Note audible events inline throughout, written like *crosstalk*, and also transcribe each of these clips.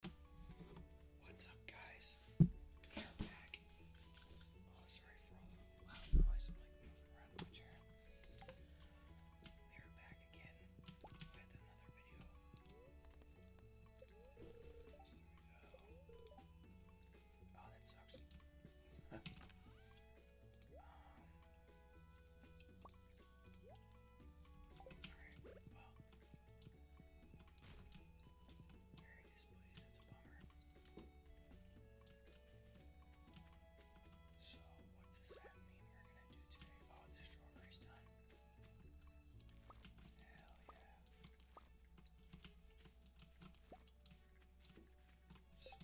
What's up, guys? We are back. Oh, sorry for all the loud noise. I'm like moving around my chair. We are back again with another video. Oh, that sucks. *laughs* Um, there it is, please. It's a bummer. So, what does that mean we're gonna do today? Oh, the strawberry's done. Hell yeah. Sweet.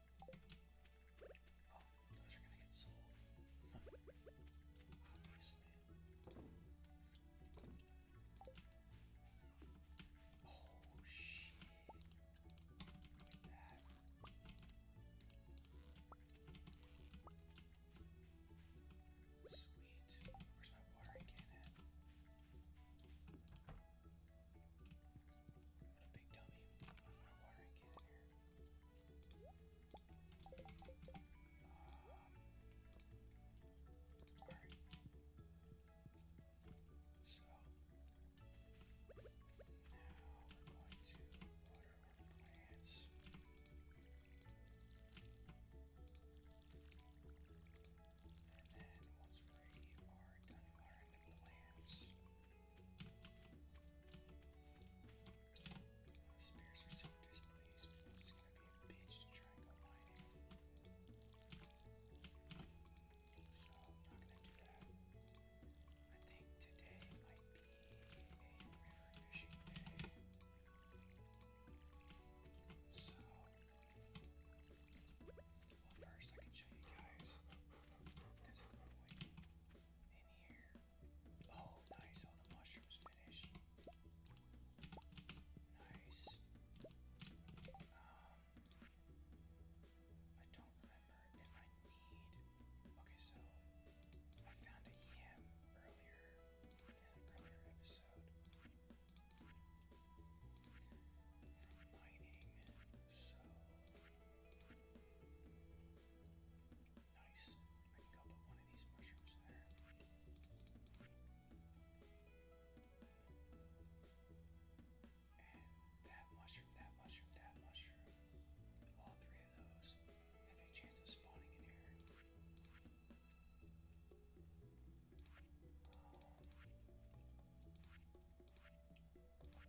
Oh, those are gonna get sold. Obviously. Oh shit. Look at that. Sweet. Where's my watering can at? Little big So now we're going to water our plants. And then once we are done watering the plants, Spears are so displeased, but it's gonna be a bitch to try and go mining. So I'm not gonna do that. I think today might be a river fishing day. So well first I can show you guys this equipment in here. Oh, nice. All oh, the mushrooms finished. Nice. Um, I don't remember if I need. Okay, so I found a yam earlier in an earlier episode from mining. So Nice. I can go put one of these mushrooms there. And that mushroom, that mushroom, that mushroom. All three of those have a chance of spawning in here. Um, I should look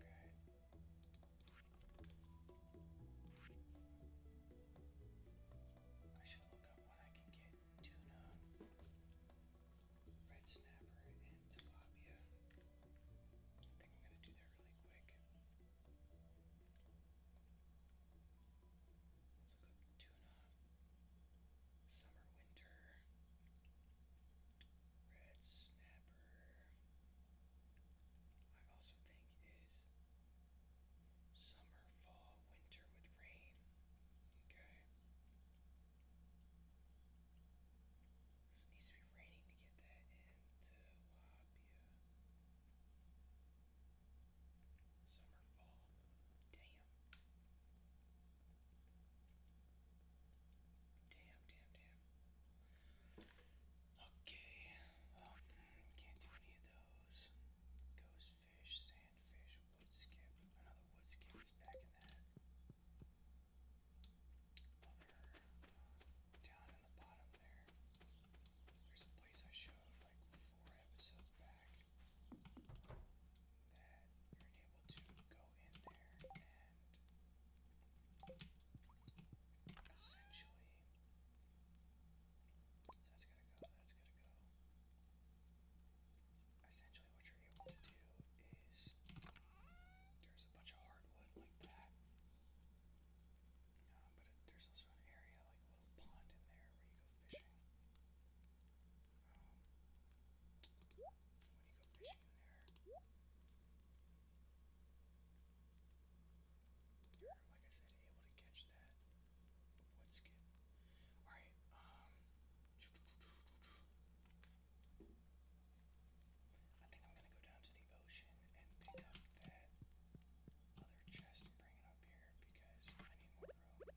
up when I can get tuna, red snapper, and tilapia. I think I'm gonna do that really quick. Let's look tuna, summer, winter, red snapper. I also think is summer, fall, winter with rain. Okay. So needs to be raining to get that into Labia. Summer, fall. Damn. Damn, damn, damn. Okay, um, can't do any of those. Ghost fish, sand fish, wood skip. Another wood skip back in that uh, down in the bottom there. There's a place I showed like four episodes back that you're able to go go essentially what you're able to do is uh, there's a bunch of hardwood like that. but there's also an area, like a little pond in there where you go fishing, um, in You're, like I said, able to catch that wood skip. Alright, um. I think I'm gonna go down to the ocean and pick up that other chest and bring it up here because I need more room.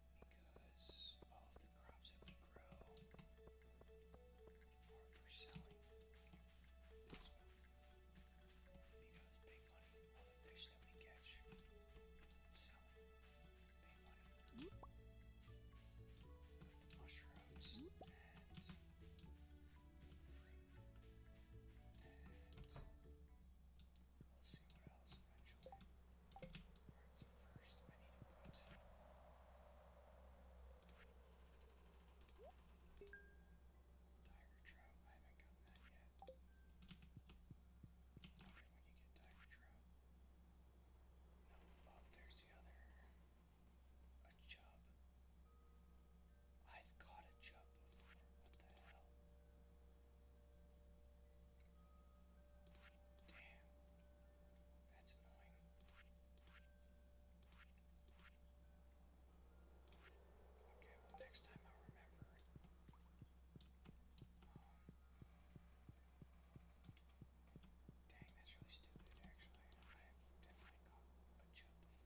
because all the crops that we grow are for selling. That's big money. All the fish that we catch, sell, pay money. mushrooms and fruit and. We'll see what else eventually. So first I need to put Tiger Trout. I haven't gotten that yet. Okay, when you get Tiger Trout. No, oh, there's the other. A chub. I've caught a chub before. What the hell? Damn. That's annoying. Okay, well, next time i remember. dang, um, that's really stupid, actually. I've definitely caught a chub before.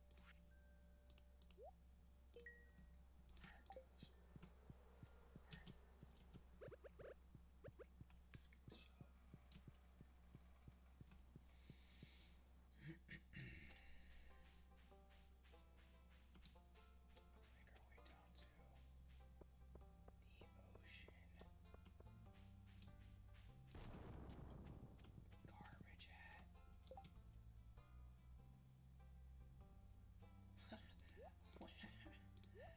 Let's make our way down to the ocean. Garbage hat. That's awesome. Oh, now I've got a garbage can hat.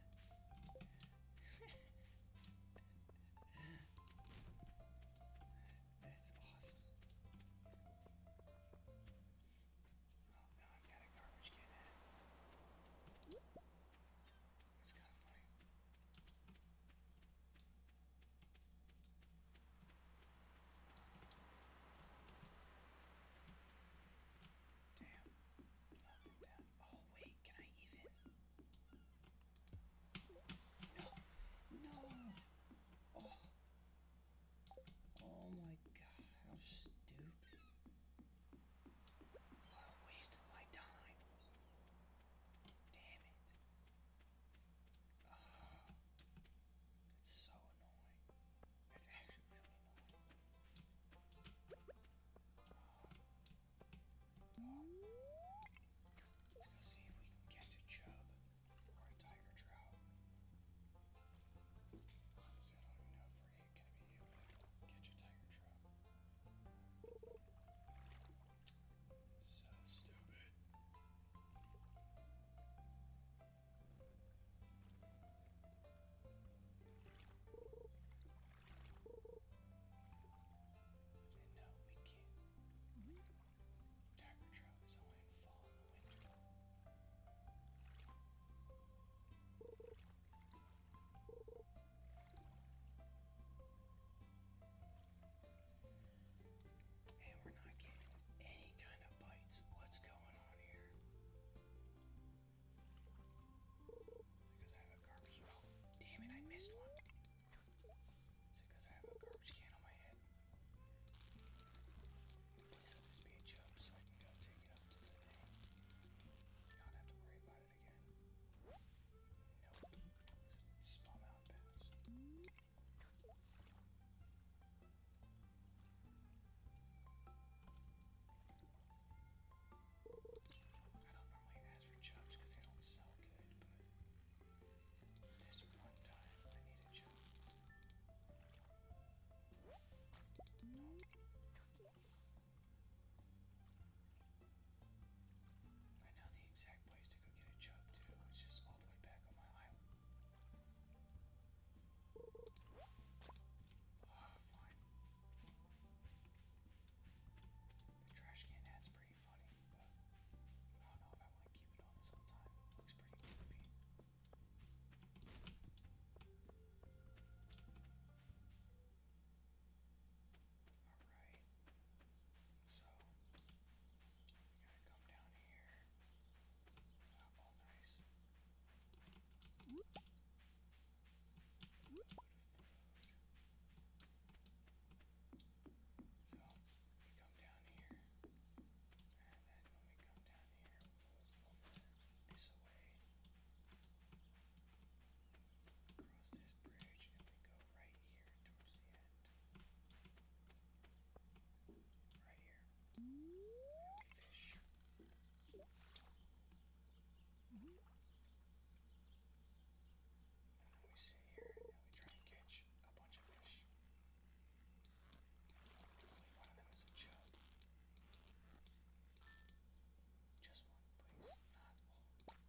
That's kind Damn. Oh wait, can I even? No, no. Oh. Oh my god, how stupid. What a waste my time. Damn it. Oh, *sighs* it's so annoying. It's actually really annoying. Oh. *sighs* Let's go see if we can catch a chub or a tiger trout. Honestly, I don't even know if we're gonna be able to catch a tiger trout. So stupid. no, we can't. Tiger trout is only in fall and winter. And we're not getting any kind of bites. What's going on here? Is it because I have a garbage can? Oh, damn it, I missed one. Is it because I have a garbage can on my head? Please let this be a so I can go take it up to Not have to worry about it at it I don't normally ask for jumps because they don't sell good, this one time I need a I know the exact place to go get a job too. It's just all the way back on my island. oh, fine. The trash can ad's pretty funny, but I don't know if I want to keep it on this whole time. looks pretty goofy. Alright. So we gotta come down here. Uh, all nice. Food, food. So we come down here. And then when we come down here, we'll move this away. Cross this bridge and we go right here towards the end. Right here. Happy fish. And we sit here and we try and catch a bunch of fish. Hopefully one of them is a chub. Just one, please. Not all.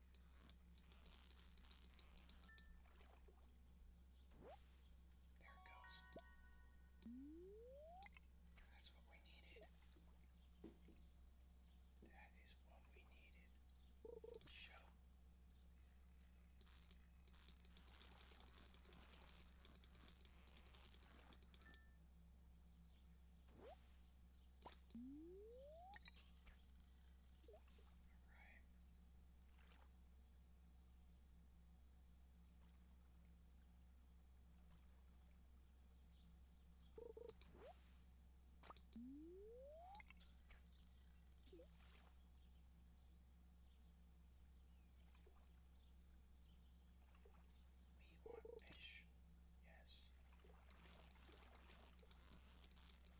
There it goes. That's what we needed. That is what we needed. Show. Alright. We want fish. Yes.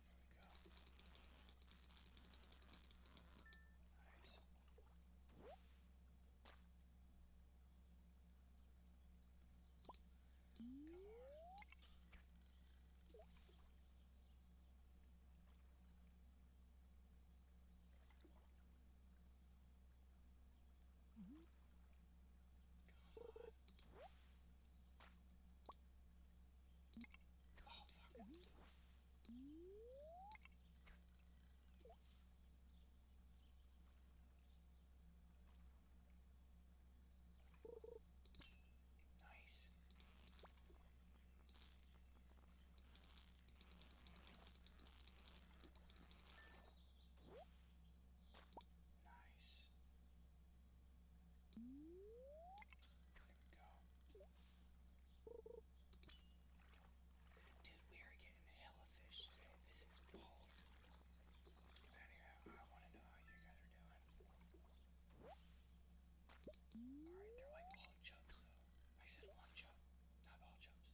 we go. Nice. Come on. Come on. Oh, fuck. Nice. Nice go. Dude, we are getting hella fish today. This is bold. Get out of here. I want to know how you guys are doing. Alright, they're like all chunks though. I said one chunk, not all chunks.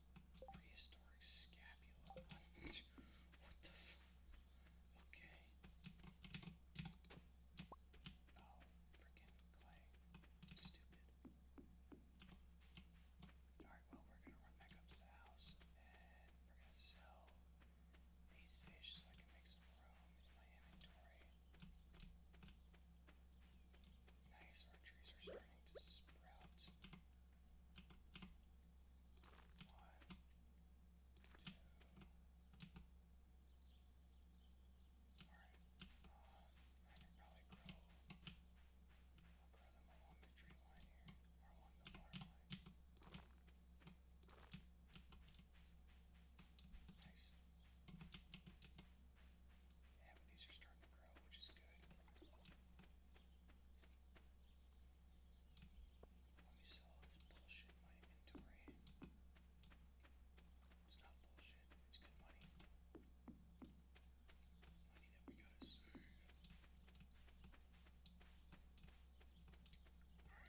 Prehistoric scapula. *laughs* what the f Okay. Oh, freaking clay. Stupid. Alright, well, we're gonna run back up to the house and we're gonna sell these fish so I can make some room in my inventory. Nice, our trees are starting to sprout. One, two. Alright, I can probably grow, grow them along the tree line here, or along the water line. Nice. Yeah, but these are starting to grow, which is good. Let me sell this bullshit inventory. It's not bullshit, it's good money. Money that we gotta save.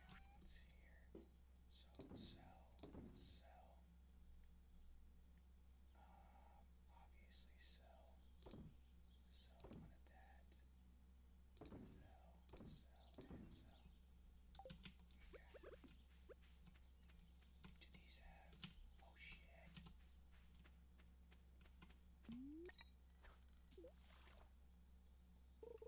Alright, here. So, sell, sell. Um, obviously sell, sell one of that, sell, sell, and sell. Okay. Do these have, oh shit. There we go.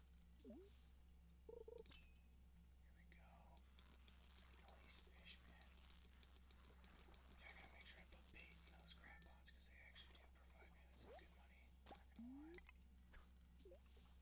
Here we go. Look all these fish, man. Yeah, I gotta make sure I put bait in those crab pots because they actually do provide me with some good money. Not gonna lie. Nice.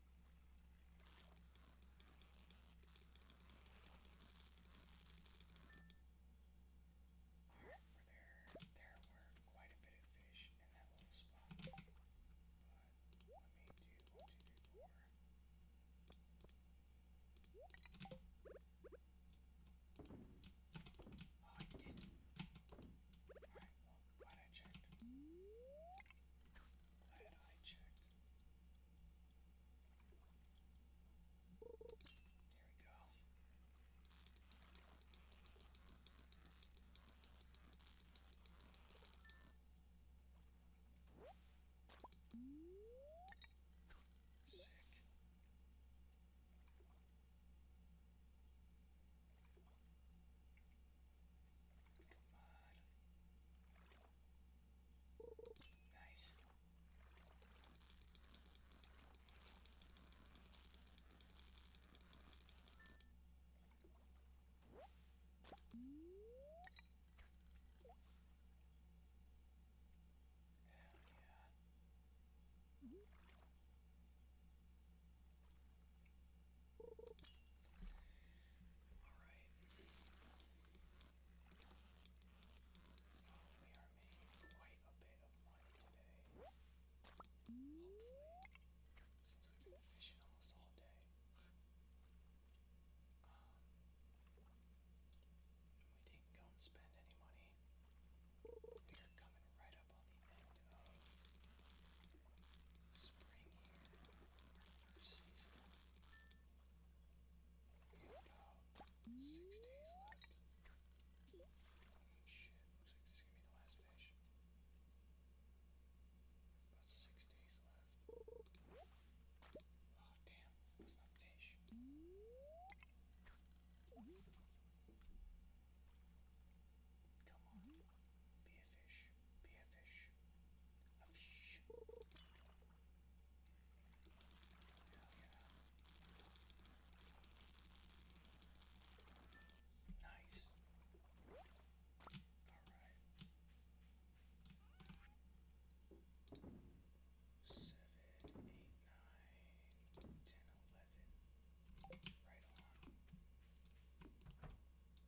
There, there were quite a bit of fish in that little spot. But let me do one, two, three, four. Oh, I did. Alright, well, glad I checked. Glad I checked. There we go. Sick. Come on. Nice. Hell yeah. Mm -hmm. Alright. So we are making quite a bit of money today. Hopefully. Since we've been fishing almost all day. Um, we didn't go and spend any money. We are coming right up on the end of spring here, regular season. We've got six days left. Shit, looks like this is gonna be the last fish. About six days left. Oh damn, that's not fish. Come on. Be a fish. Be a fish. A fish. Yeah. Nice. Alright. Seven, eight, nine, ten, eleven. Right on.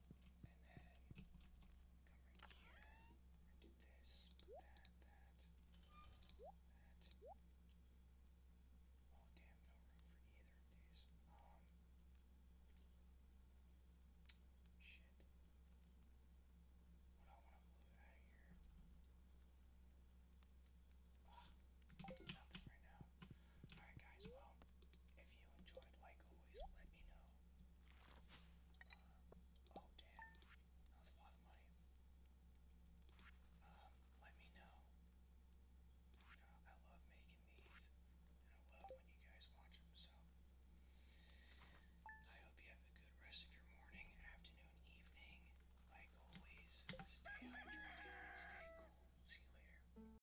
And then Oh damn, no room for either of these. shit. What do I wanna move out of here? nothing right now. Alright, guys, well, if you enjoyed, like always, let me know. Uh, oh, damn, that was a lot of money. Um, let me know. Uh, I love making these, and I love when you guys watch them, so. I hope you have a good rest of your morning, afternoon, evening. Like always, stay hydrated and stay cool. See you later.